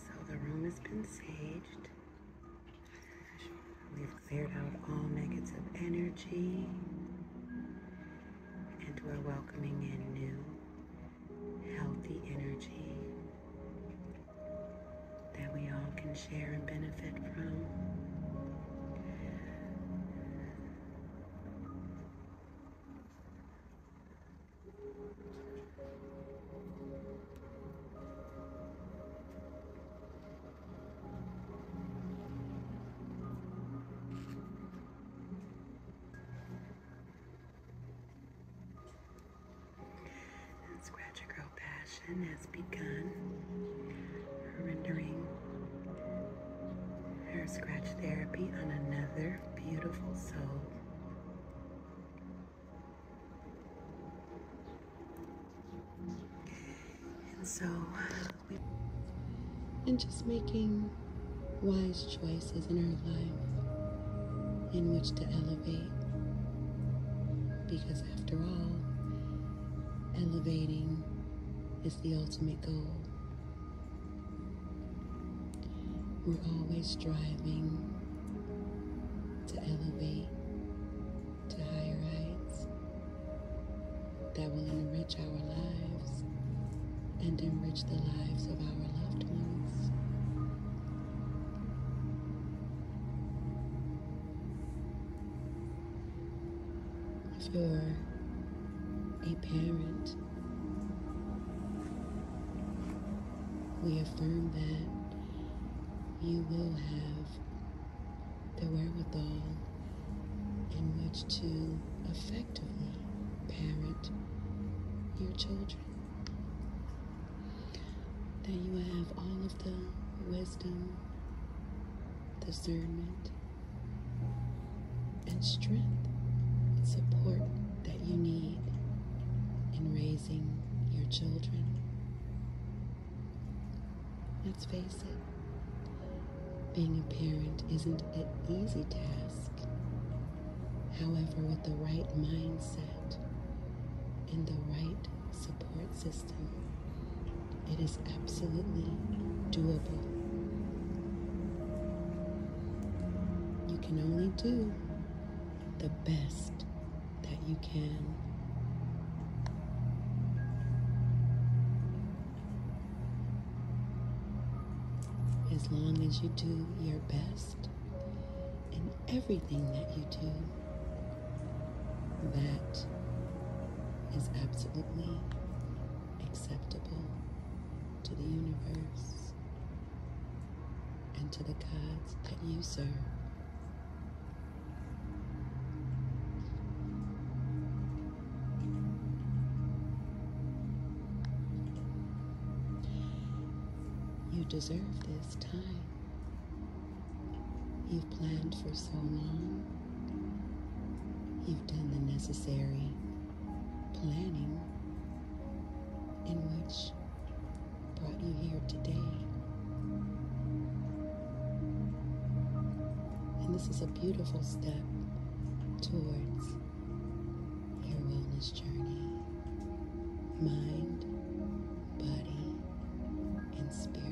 So the room has been saged. We've cleared out all negative energy and we're welcoming in new, healthy energy that we all can share and benefit from. Scratch Girl Passion has begun rendering her scratch therapy on another beautiful soul. And so, we, and just making wise choices in our life in which to elevate. Because after all, elevating is the ultimate goal. We're always striving to elevate to higher heights that will enrich our lives and enrich the lives of our loved ones. If you're a parent, we affirm that you will have the wherewithal in which to effectively parent your children. That you have all of the wisdom, discernment, and strength and support that you need in raising your children. Let's face it, being a parent isn't an easy task. However, with the right mindset and the right support system, it is absolutely doable. You can only do the best that you can. As long as you do your best in everything that you do, that is absolutely acceptable to the universe and to the gods that you serve. You deserve this time you've planned for so long. You've done the necessary planning in which brought you here today. And this is a beautiful step towards your wellness journey mind, body, and spirit.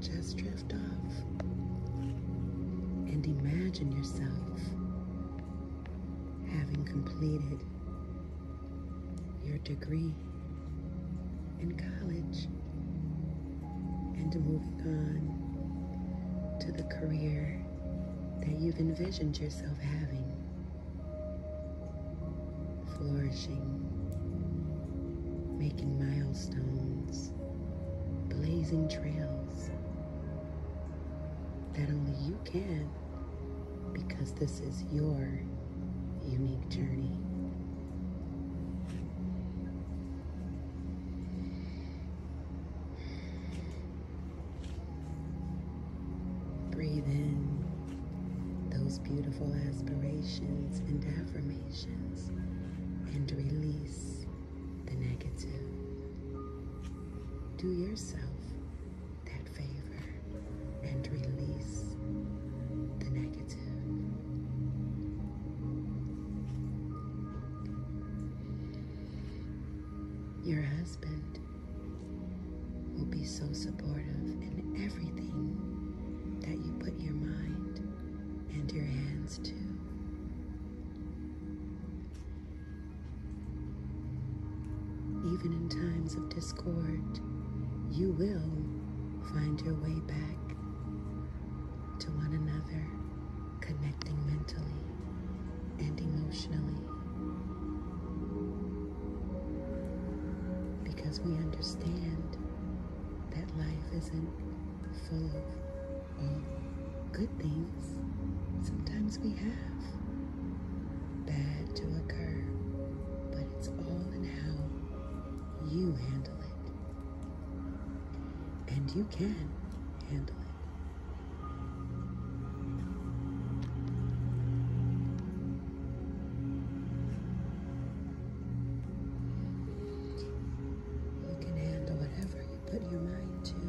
Just drift off and imagine yourself having completed your degree in college and moving on to the career that you've envisioned yourself having, flourishing, making milestones, blazing trails that only you can because this is your unique journey. Breathe in those beautiful aspirations and affirmations and release the negative. Do yourself that favor and release the negative. Your husband will be so supportive in everything that you put your mind and your hands to. Even in times of discord, you will find your way back to one another connecting mentally and emotionally. Because we understand that life isn't full of all um, good things, sometimes we have bad to occur, but it's all in how you handle it. And you can handle it. You can handle whatever you put your mind to.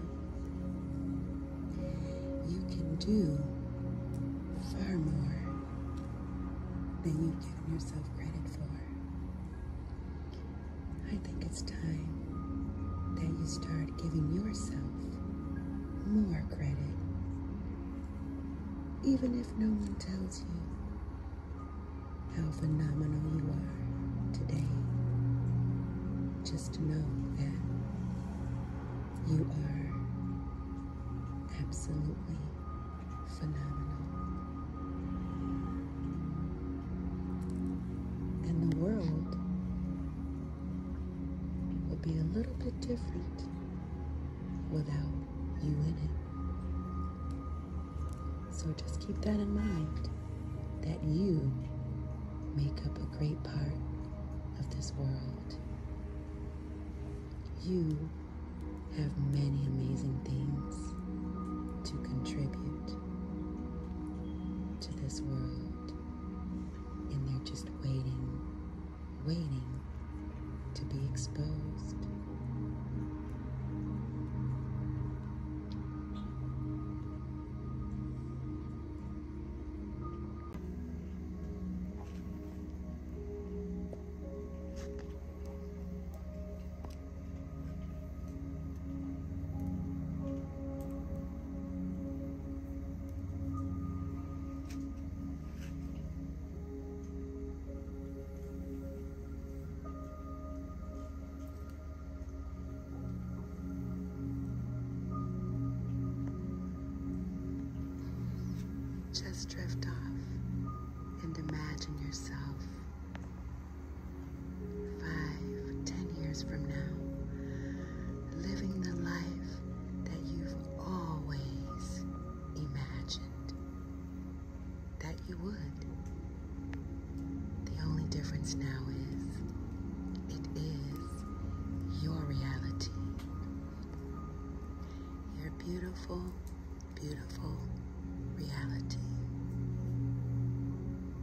You can do far more than you've yourself credit for. I think it's time that you start giving yourself more credit. Even if no one tells you how phenomenal you are today, just know that you are absolutely phenomenal. And the world would be a little bit different without you in it. So just keep that in mind that you make up a great part of this world. You have many amazing things to contribute to this world, and they're just waiting, waiting to be exposed. Just drift off and imagine yourself five, ten years from now, living the life that you've always imagined that you would. The only difference now is it is your reality. Your beautiful, beautiful reality.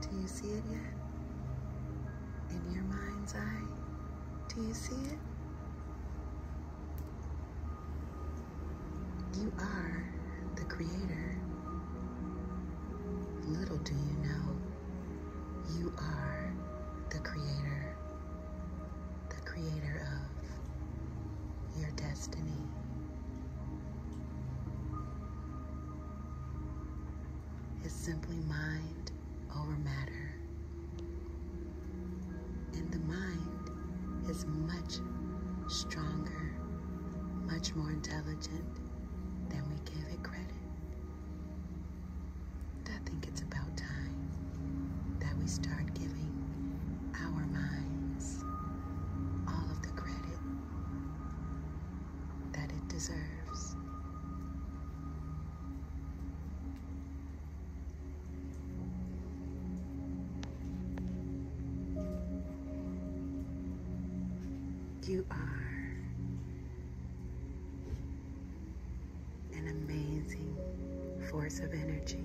Do you see it yet? In your mind's eye, do you see it? You are the creator. Little do you know, you are the creator, the creator of your destiny is simply mind over matter. And the mind is much stronger, much more intelligent than we give it credit. I think it's about time that we start giving our minds all of the credit that it deserves. You are an amazing force of energy.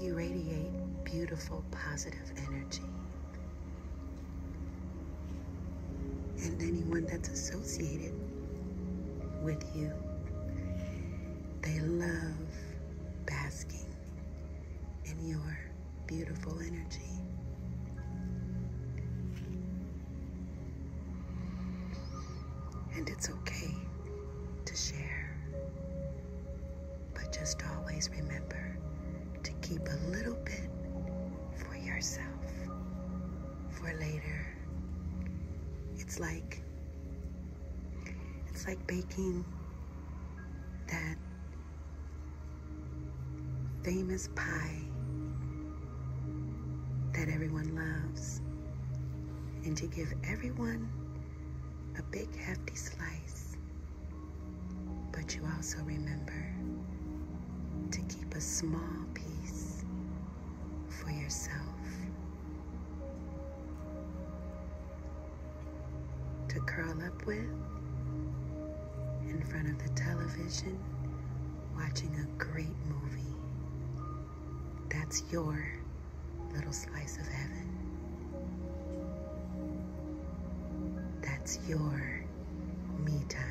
You radiate beautiful, positive energy. And anyone that's associated with you, they love basking in your beautiful energy. And it's okay to share. But just always remember to keep a little bit for yourself for later. It's like it's like baking that famous pie that everyone loves and to give everyone a big hefty slice but you also remember to keep a small piece for yourself, to curl up with in front of the television watching a great movie. That's your little slice of heaven. That's your me time.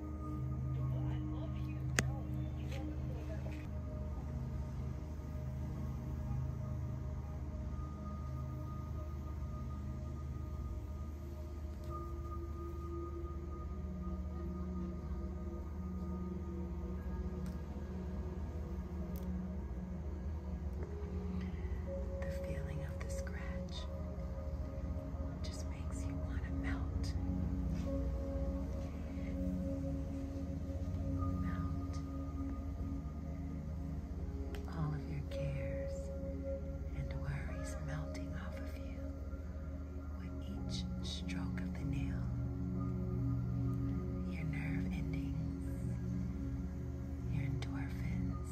The feeling of the scratch just makes you want to melt. Melt all of your cares and worries melting off of you with each stroke of the nail. Your nerve endings, your endorphins,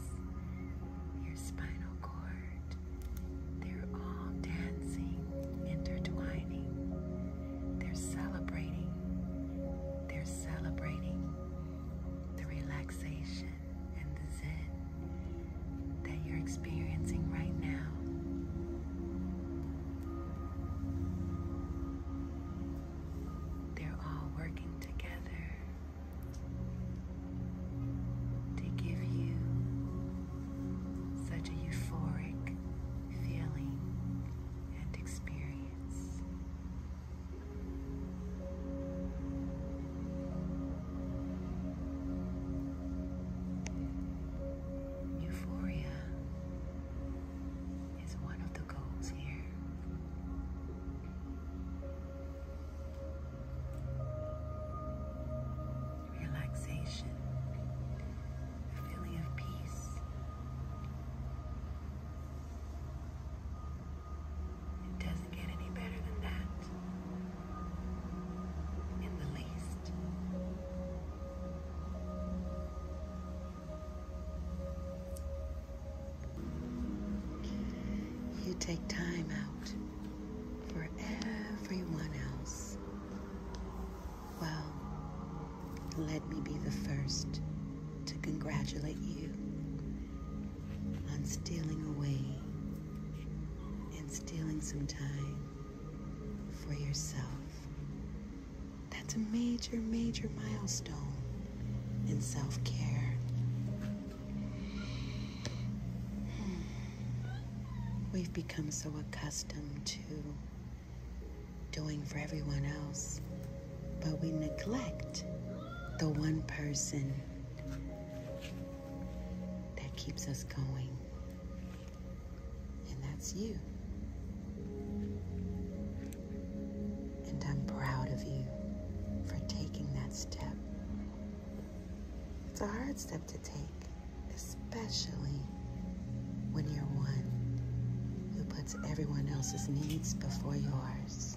your spinal cord. They're all dancing, intertwining. They're celebrating. They're celebrating the relaxation and the zen that you're experiencing right now. They're all working together to give you such a euphoric feeling and experience. Euphoria is one of the goals here relaxation, a feeling of peace. It doesn't get any better than that, in the least. You take time out for everyone else. Well, let me be the first to congratulate you on stealing away and stealing some time for yourself. That's a major, major milestone in self care. Hmm. We've become so accustomed to doing for everyone else, but we neglect the one person that keeps us going, and that's you. And I'm proud of you for taking that step. It's a hard step to take especially when you're one who puts everyone else's needs before yours.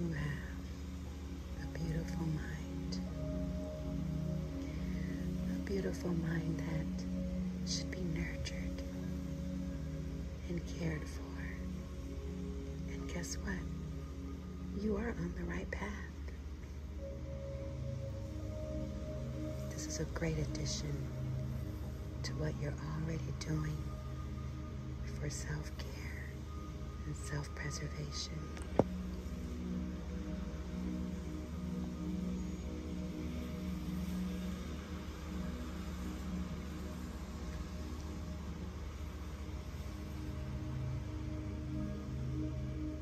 You have a beautiful mind, a beautiful mind that should be nurtured and cared for. And guess what? You are on the right path. This is a great addition to what you're already doing for self care and self preservation.